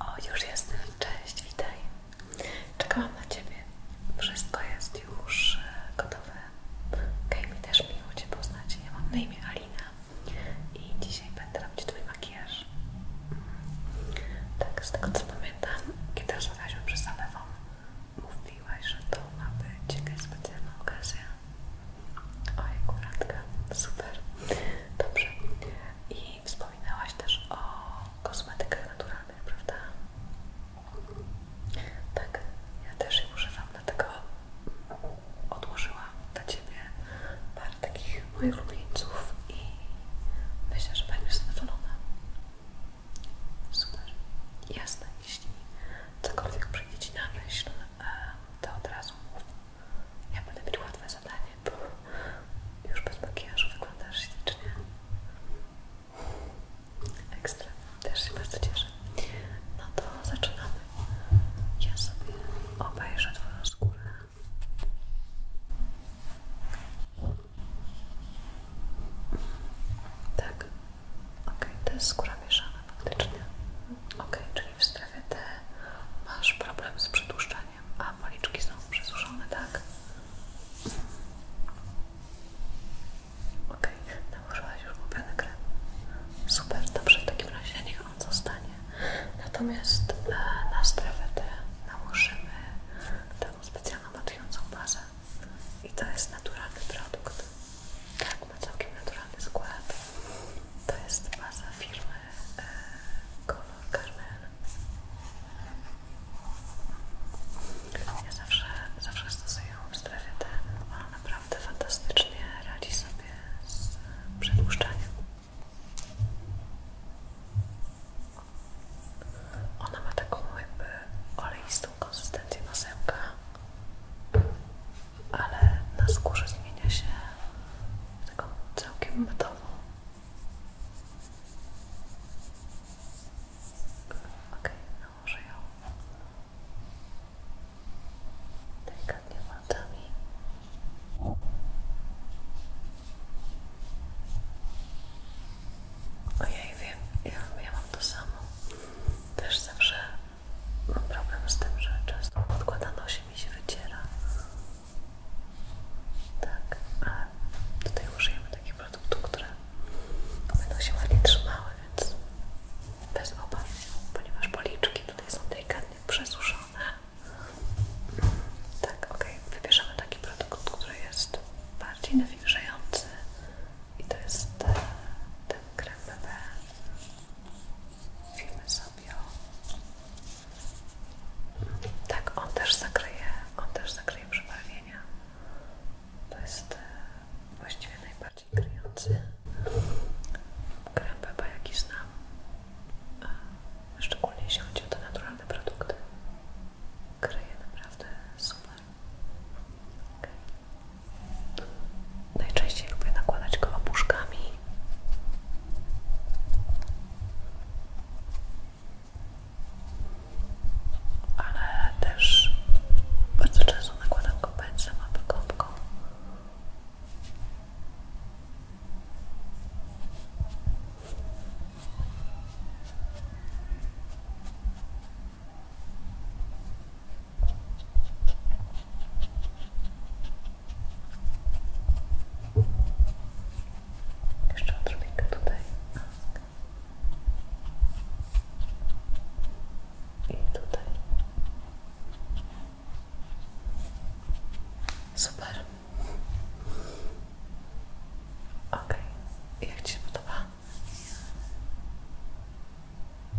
O, już jestem. Cześć, witaj. Czekałam na Ciebie. Wszystko jest już e, gotowe. Okej, mi też miło Cię poznać. Ja mam na imię Alina i dzisiaj będę robić Twój makijaż. Tak, z tego co pamiętam, kiedy rozmawialiśmy przez telefon, mówiłaś, że to ma być jakaś specjalna okazja. Oj, kuratka, tak. super. Dobrze. I wspominałaś też o kosmetykach naturalnych, prawda? Tak, ja też ich używam, dlatego odłożyłam dla Ciebie parę takich moich ulubieńców i myślę, że będziesz zadowolona. Super. Jasne, jeśli cokolwiek przyjdzie Ci na myśl, to od razu ja będę mieć łatwe zadanie, bo już bez makijażu wyglądasz ślicznie. Ekstra, też się bardzo cieszę. No to zaczynamy. Ja sobie obejrzę Twoją skórę. Tak, ok, to jest skóra mieszana faktycznie. Ok, czyli w strefie T masz problem z przedłuszczaniem. A policzki są przesuszone, tak? Okej, okay. nałożyłaś już ulubiony krem. Super, dobrze, w takim razie niech on zostanie. Natomiast e, na strefę D nałożymy taką specjalną matującą bazę. I to jest naturalny produkt. Tak, ma całkiem naturalny skład. To jest baza firmy e, Carmen. Ja zawsze, zawsze stosuję ją w strefie naprawdę fantastycznie radzi sobie z przedłuszczaniem. Ona ma taką jakby oleistą konsystencję masełka, ale na skórze zmienia się w taką całkiem metową. Okej, okay, no nałożę ją delikatnie palcami. Ojej, wiem, ja, mam to samo. Też zawsze mam problem z tym, że często podkładano się mi się wyciera. Tak, a tutaj użyjemy takich produktów, które będą się ładnie trzymały, więc bez obaw, ponieważ policzki tutaj są delikatnie przesuszone. Tak, ok, wybierzemy taki produkt, który jest bardziej nawilżający i to jest e, ten krem BB. Filmy sobie tak, on też zakryje, on też zakryje przebarwienia. To jest e, właściwie najbardziej kryjący krem Beba, jaki znam. Szczególnie jeśli chodzi o te naturalne produkty. Kryje naprawdę super. Najczęściej lubię nakładać go opuszkami ale też bardzo często nakładam go pędzlem albo jeszcze odrobinkę tutaj. I tutaj. Super. Ok. Jak Ci się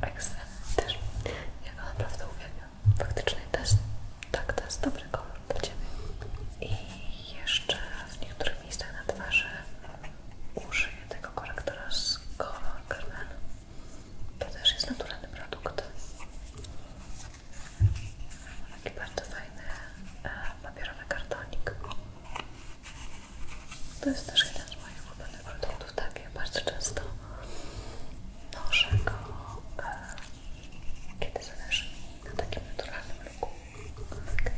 Ekstra. Też. Ja naprawdę uwielbiam. Faktycznie to jest, tak, to jest dobry kolor dla Ciebie. I jeszcze w niektórych miejscach na twarzy użyję tego korektora z Color Carmen. To też jest naturalny produkt. Taki bardzo fajny e, papierowy kartonik. To jest też jeden z moich ulubionych produktów, tak? Ja bardzo często naszego e, kiedy zależy mi na takim naturalnym ruchu. Okay.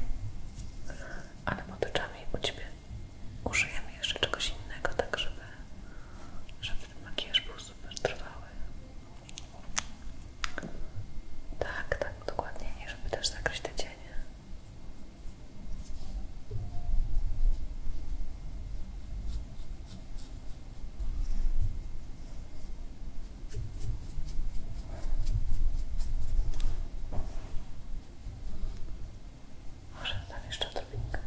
Ale motyczami u Ciebie użyjemy jeszcze czegoś innego, tak żeby, żeby ten makijaż był super trwały. Tak, tak, dokładnie, żeby też zakryć te cienie. Może tam jeszcze odrobinkę.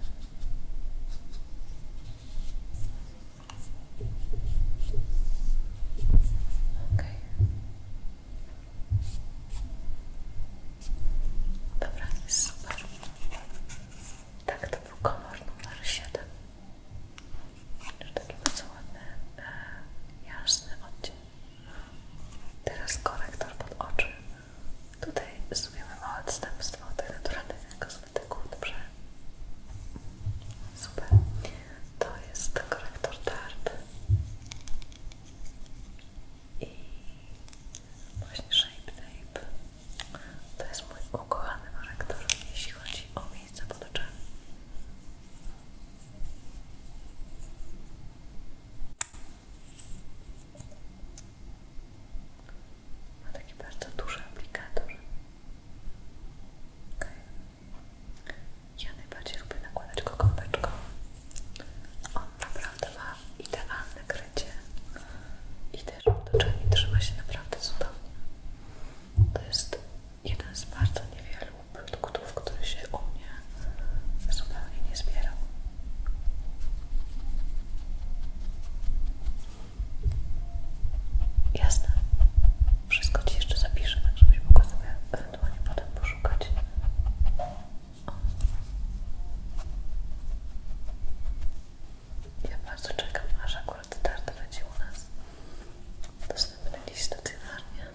Dobra, Tak, to był kolor numer 7. Jeszcze taki bardzo ładny, e, jasny odcień. Teraz korektor pod oczy. Tutaj zrobimy małe odstępstwo od naturalnych kosmetyków, dobrze? Super. To jest korektor Tarte. I właśnie Shape Tape. To jest mój ukochany korektor, jeśli chodzi o miejsca pod oczami. Ma taki bardzo duży aplikator. Ja najbardziej lubię nakładać go kąpeczką. On naprawdę ma idealne krycie i też pod oczami trzyma się naprawdę cudownie. To jest Jeden z bardzo niewielu produktów, który się u mnie zupełnie nie zbierał. Jasne, wszystko Ci jeszcze zapiszę, tak żebyś mogła sobie ewentualnie potem poszukać. Ja bardzo czekam, aż akurat tart będzie u nas dostępny dziś stacjonarnie.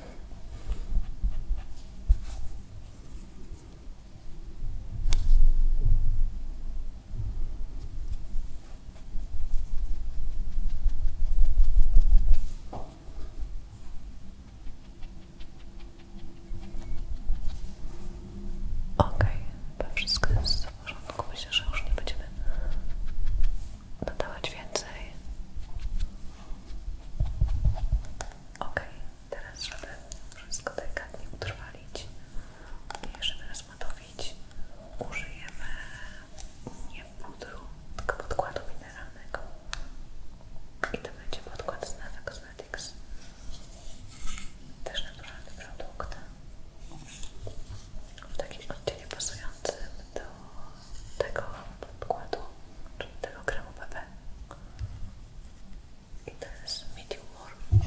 Okej, wszystko w porządku, myślę, że już nie będziemy dodawać więcej. Ok, teraz żeby wszystko delikatnie utrwalić i żeby rozmatowić, użyjemy nie pudru, tylko podkładu mineralnego. I to będzie podkład z Neve Cosmetics. Też naturalny produkt w takim odcieniu pasującym do tego podkładu, czyli tego kremu BB to jest medium warm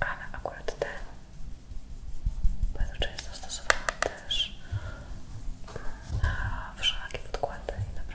ale akurat ten bardzo często stosowałam też na wszelakie podkłady i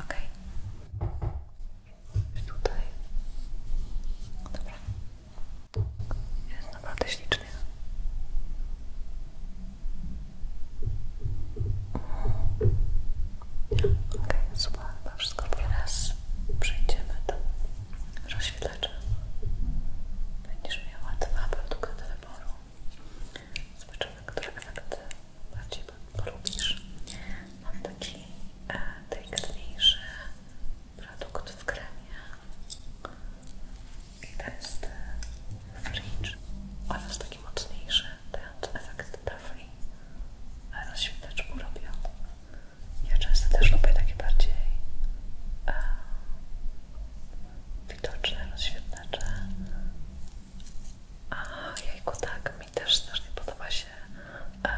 Ok. Tutaj. Dobra. Jest naprawdę ślicznie. Ok, super, chyba wszystko teraz przejdziemy do rozświetlacza. Będziesz miała dwa produkty do wyboru. Zobaczymy, które efekt bardziej polubisz. Mam taki e, delikatniejszy produkt w kremie. I to jest e, fringe oraz taki mocniejszy, dający efekt tafli. Ale świeteczku robią. Ja często też lubię takie bardziej e, widoczne rozświetlacze. A jajku, tak, mi też strasznie podoba się e,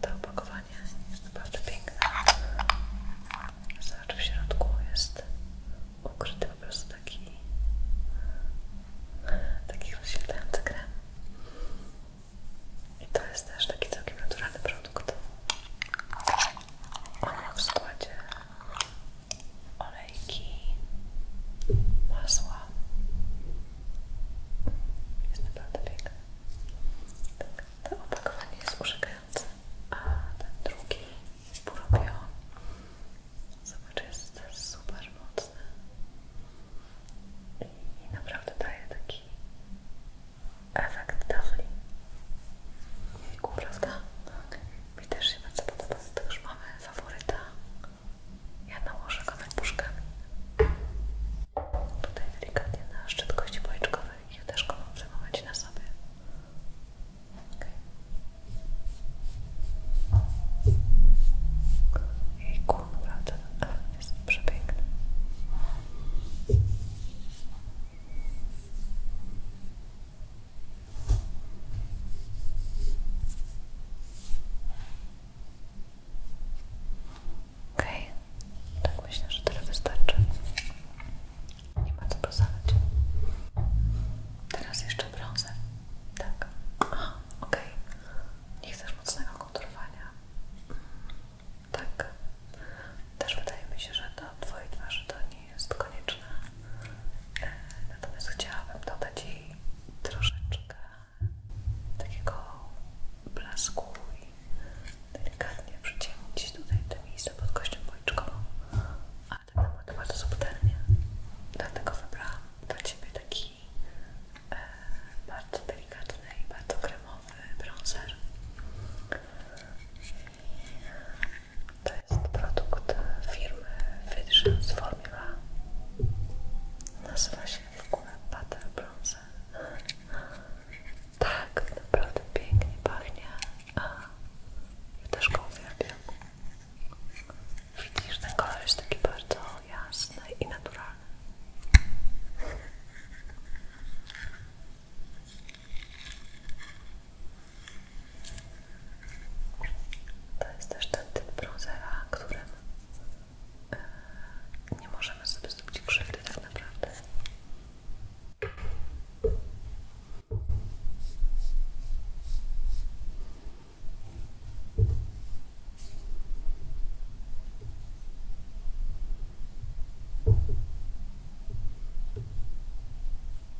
to opakowanie. Jest naprawdę piękne. Zobacz, w środku jest ukryty po prostu taki taki rozświetlający krem. I to jest też taki całkiem naturalny produkt. On w składzie olejki, masła. Jest naprawdę piękne. Tak, to opakowanie jest urzekające, a ten drugi burobio. Zobacz, jest super mocny i naprawdę daje taki efekt tafli. Kuprawka? Okay. Mi też się bardzo podoba, to już mamy faworyta. Ja nałożę go puszkami. Tutaj delikatnie na szczyt kości policzkowej. Ja też go mam w na sobie. Okay. Jejku, naprawdę ten jest przepiękny. OK. tak myślę, że tyle wystarczy. Nie ma co prosować. Teraz jeszcze brązer. Tak. Aha, okej. Okay. Nie chcesz mocnego konturowania. Tak. Też wydaje mi się, że do twojej twarzy to nie jest konieczna. E, natomiast chciałabym dodać jej troszeczkę takiego blasku i delikatnie przyciemnić tutaj te miejsca pod kością policzkową, ale tak naprawdę bardzo subtelnie. Dlatego wybrałam dla Ciebie taki e, bardzo delikatny i bardzo kremowy bronzer. To jest produkt firmy Fitchens Formula. Nazywa się w ogóle Butter Bronzer. Tak, naprawdę pięknie pachnie. A, ja też go uwielbiam. Widzisz, ten kolor jest taki bardzo jasny i naturalny. To jest też ten typ browsera, którym e, nie możemy sobie zrobić krzywdy tak naprawdę.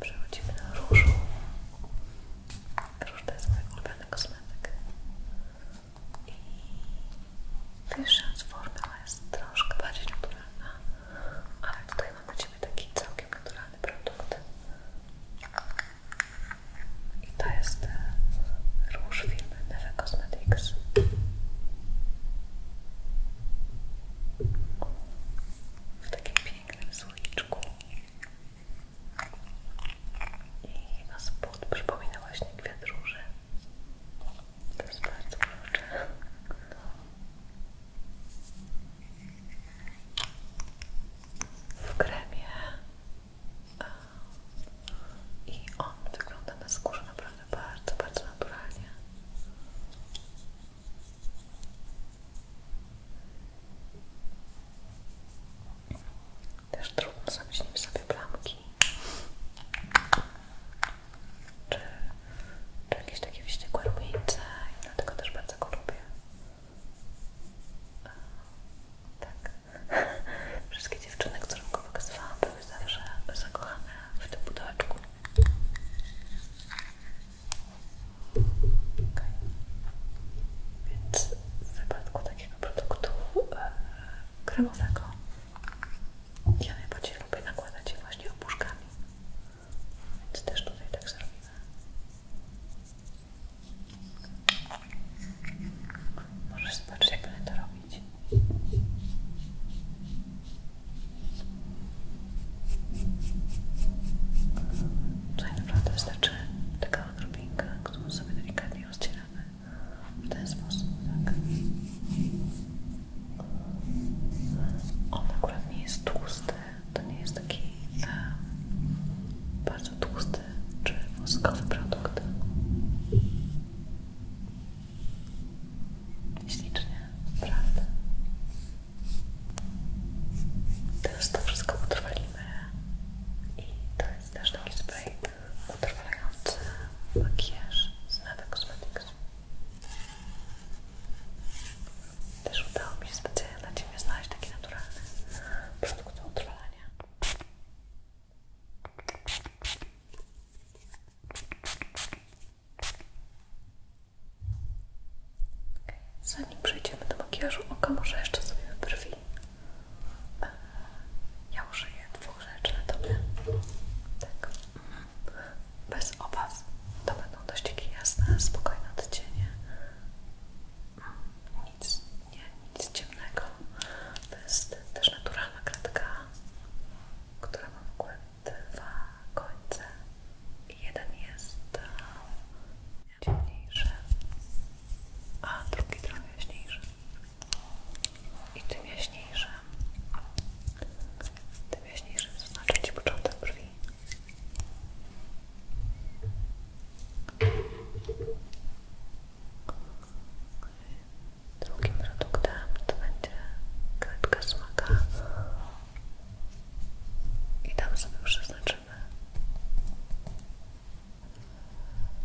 Przechodzimy na różu. Róż to jest mój ulubiony kosmetyk. I pierwsza formuła jest troszkę bardziej naturalna, ale tutaj mam dla Ciebie taki całkiem naturalny produkt. I to jest e, róż firmy Neve Cosmetics. W takim pięknym słoiczku i jego spód przypomina właśnie kwiat róży. To jest bardzo urocze. W kremie i on wygląda na skórze naprawdę bardzo, bardzo naturalnie. Też trudno zrobić nim sobie plamki. Czy, jakieś takie wściekłe rumieńce i dlatego też bardzo go lubię. Tak. Wszystkie dziewczyny, którym go pokazywałam, były zawsze zakochane w tym pudełeczku. Okay. Więc w wypadku takiego produktu e, kremowego ja najpierw lubię nakładać je właśnie opuszkami, więc też tutaj tak zrobimy. Możesz zobaczyć, jak będę to robić. Tutaj naprawdę wystarczy taka odrobinka, którą sobie delikatnie rozcieramy w ten sposób, tak? On akurat nie jest tłusty, to nie jest taki e, bardzo tłusty czy woskowy produkt. Ślicznie, prawda? Teraz to wszystko utrwalimy i to jest też taki spray utrwalający makijaż z Nada Cosmetics. Też udało mi się specjalnie dla Ciebie znaleźć taki naturalny produkt do utrwalania. Zanim przejdziemy do makijażu oka, może jeszcze sobie brwi. Ja użyję dwóch rzeczy na tobie. Tak. Bez obaw. To będą dość jasne, spokojne odcienie. Nic, nie, nic ciemnego. To jest też naturalna kratka, która ma w ogóle dwa końce jeden jest e, ciemniejszy, a drugi trochę jaśniejszy. I tym jaśniejszym, tym jaśniejszym zaznaczę Ci początek brwi. Drugim produktem to będzie kredka smaka i tam sobie przeznaczymy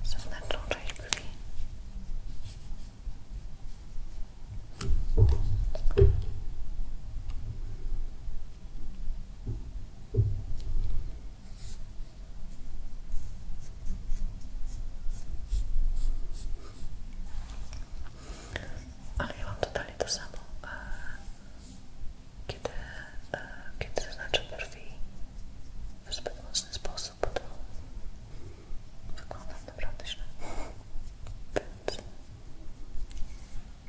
zewnętrzną część brwi. Ale ja mam to to samo kiedy, e, kiedy zaznaczę brwi w zbyt mocny sposób, to wygląda naprawdę źle. Więc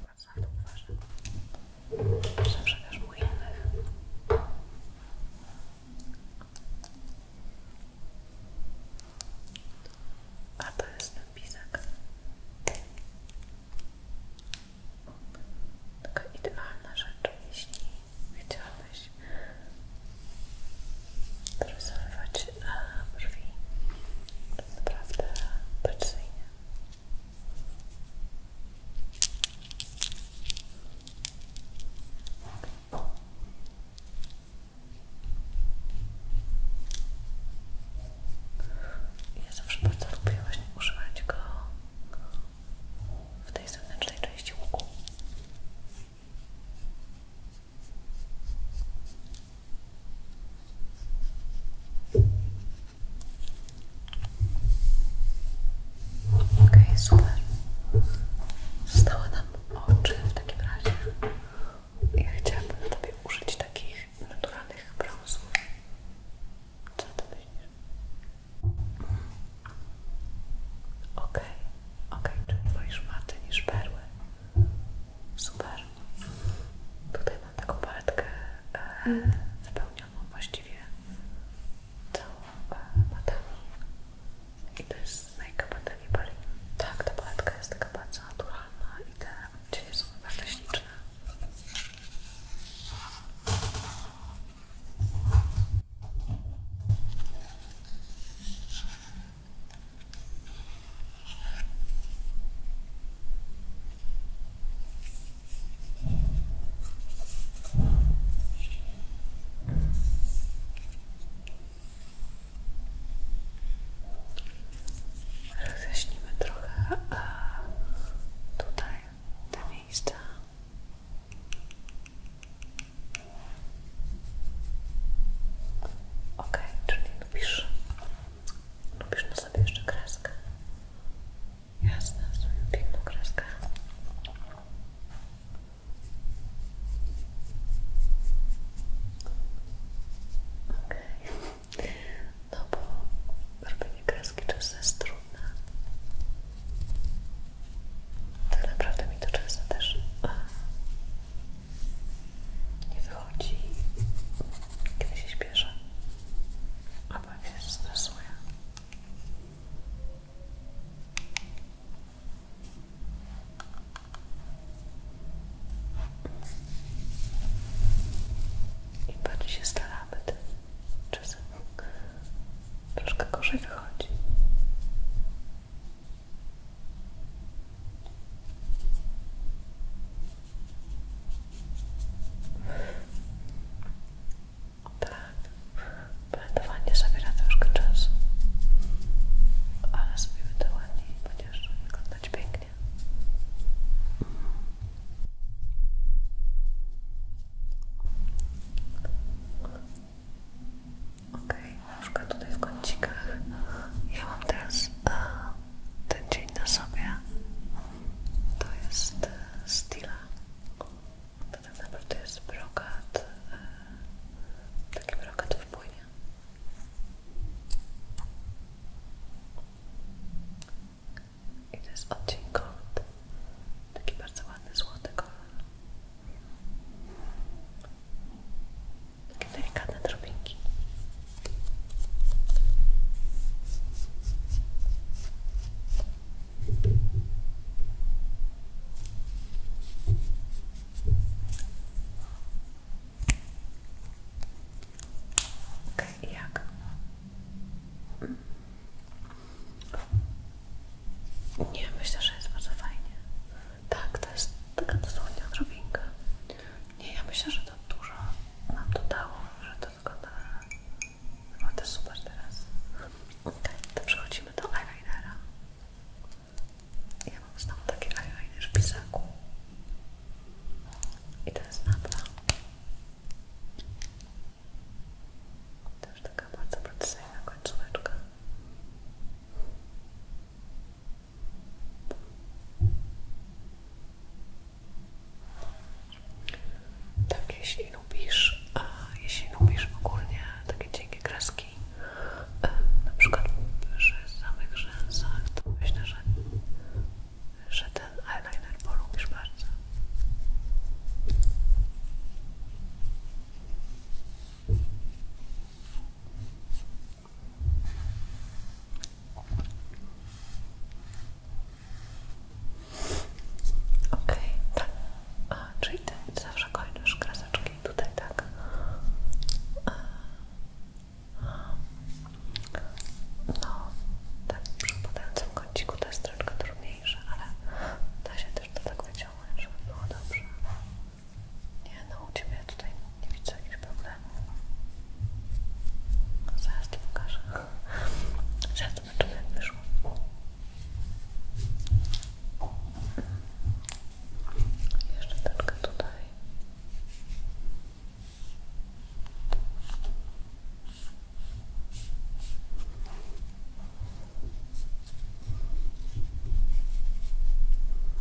bardzo ważne, to uważam. Zawsze też u innych. A to jest ten pisak. Taka idealna rzecz, jeśli chciałabyś dorysowywać e, brwi naprawdę precyzyjnie. Ja zawsze bardzo lubię właśnie używać go w tej zewnętrznej części łuku. Okej, okay, super. Zostały nam oczy w takim razie. Ja chciałabym Tobie użyć takich naturalnych brązów. Co ty myślisz? Okej, okay. okej, okay. czyli wolisz maty niż perły. Super. Tutaj mam taką paletkę e, mhm. wypełnioną właściwie całą e, matami. I to jest z Nike Battery Tak, ta paletka jest taka bardzo naturalna naturalna no i te bardzo śliczne rozjaśnimy trochę tutaj te miejsca. Ok, czyli lubisz, lubisz na sobie jeszcze kreskę? Jasne, zrobię piękną kreskę. Okej. Okay no bo robienie kreski czasem jest trudne. Tak naprawdę mi to czasem też e, nie wychodzi, kiedy się śpieszę a jak się stresuję. I bardziej się staramy, tym czasem troszkę gorzej wychodzi. Tak, blendowanie zabiera troszkę czasu, ale zrobimy to ładniej, ponieważ wyglądać pięknie pięknie. Ok, na przykład tutaj w kącikach. Ja mam teraz a, e, ten dzień na sobie. To jest e, stila. To ten tak naprawdę jest brokat. E, taki brokat w i to jest odcień gold. Taki bardzo ładny, złoty kolor. Takie delikatne drobinki. Okay, jak nie, myślę, że jest bardzo fajnie. Tak, to jest taka dosłownie odrobinka. Nie, ja myślę, że to dużo nam to dało, że to wygląda naprawdę no, super teraz. Ok, to przechodzimy do eyelinera. Ja mam znowu taki eyeliner w pisaku. I to jest napra. Też taka bardzo precyzyjna końcóweczka. Tak, jeśli lubisz, a jeśli lubisz ogólnie takie cienkie kreski, e, na przykład przy samych rzęsach, to myślę, że że ten eyeliner polubisz bardzo. Okej, tak. A, czyli ty zawsze kończysz tutaj, tak? No, tak przy podającym kąciku to jest troszkę trudniejsze, ale da się też to tak wyciągnąć, żeby było dobrze. Nie no, u Ciebie tutaj nie widzę jakichś problemów. Zaraz to pokażę. Zaraz zobaczymy jak wyszło. Jeszcze troszkę tutaj.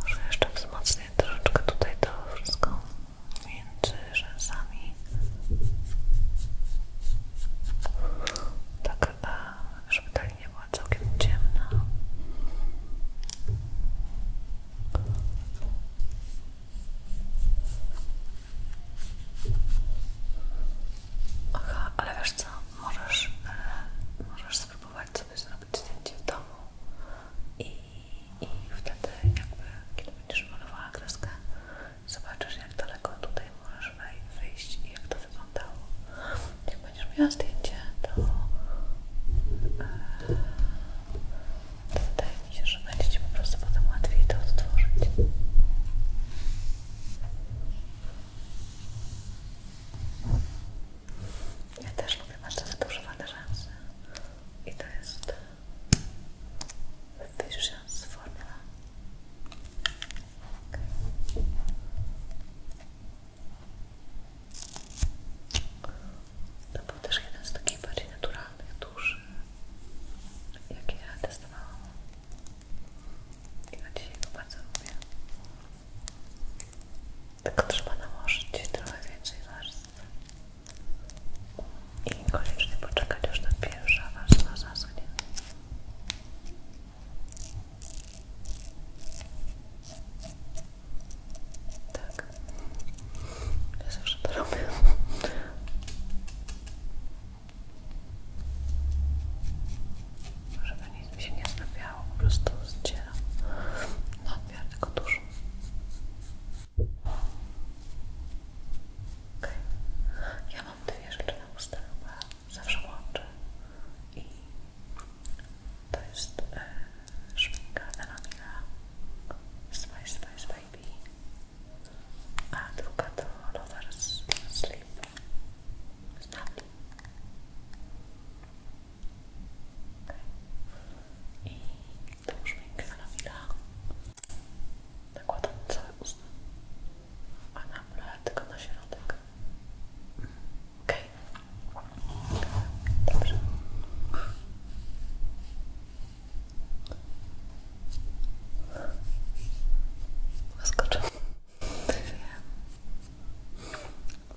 Może jeszcze wzmocnię troszeczkę tutaj to wszystko między rzęsami. Tak, żeby ta linia była całkiem ciemno. Aha, ale wiesz co, możesz, możesz spróbować sobie zrobić zdjęcie w domu i, i wtedy jakby, kiedy będziesz malowała kreskę, zobaczysz jak daleko tutaj możesz wyjść i jak to wyglądało. Jak będziesz miała zdjęcie, to, e, to wydaje mi się, że będzie Ci po prostu potem łatwiej to odtworzyć. Ja też lubię, masz te wydłużowane rzęsy i to jest Visions Formula. Okay. Dobra był też jeden z takich bardziej naturalnych, duży, jakie ja testowałam. Ja dzisiaj go bardzo lubię. Tylko trzeba nałożyć trochę więcej warstw. I koniecznie poczekać aż ta pierwsza warstwa zaschnie. Tak, ja zawsze to robię. Żeby nic mi się nie zlepiało, po prostu z zdzieram nadmiar tylko dużo. Ok, Ja mam dwie rzeczy na ustach, zawsze łączę i to jest e, szminka Elamina Spice Spice Baby a druga to Lovers Sleep Snap okay. i tą szminkę na Mila nakładam całe usta a na mle tylko na środek okej okay. dobrze Łaskoczę.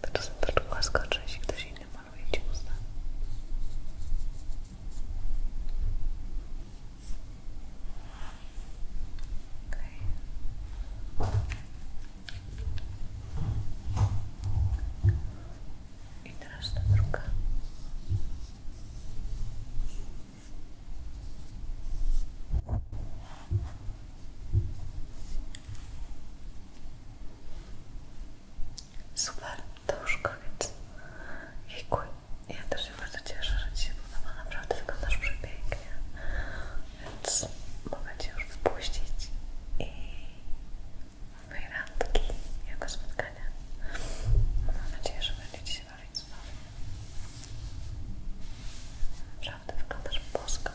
To jest też łaskoczę, jeśli ktoś inny maluje Ci usta. Okej. I teraz ta druga. Super, to już koniec. Jejkuj, ja też się bardzo cieszę, że Ci się podoba. Naprawdę wyglądasz przepięknie. Więc mogę Cię już wypuścić i w mojej randki, jako spotkanie spotkania. Mam nadzieję, że będziecie się bawić cudownie. Naprawdę wyglądasz bosko.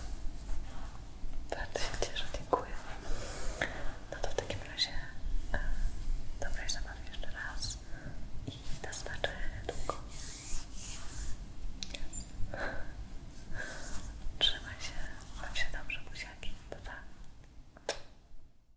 Bardzo się cieszę, dziękuję. No to w takim razie e, dobrej zabawy jeszcze raz i do zobaczenia długo. Trzymaj się, mam się dobrze, buziaki. pa.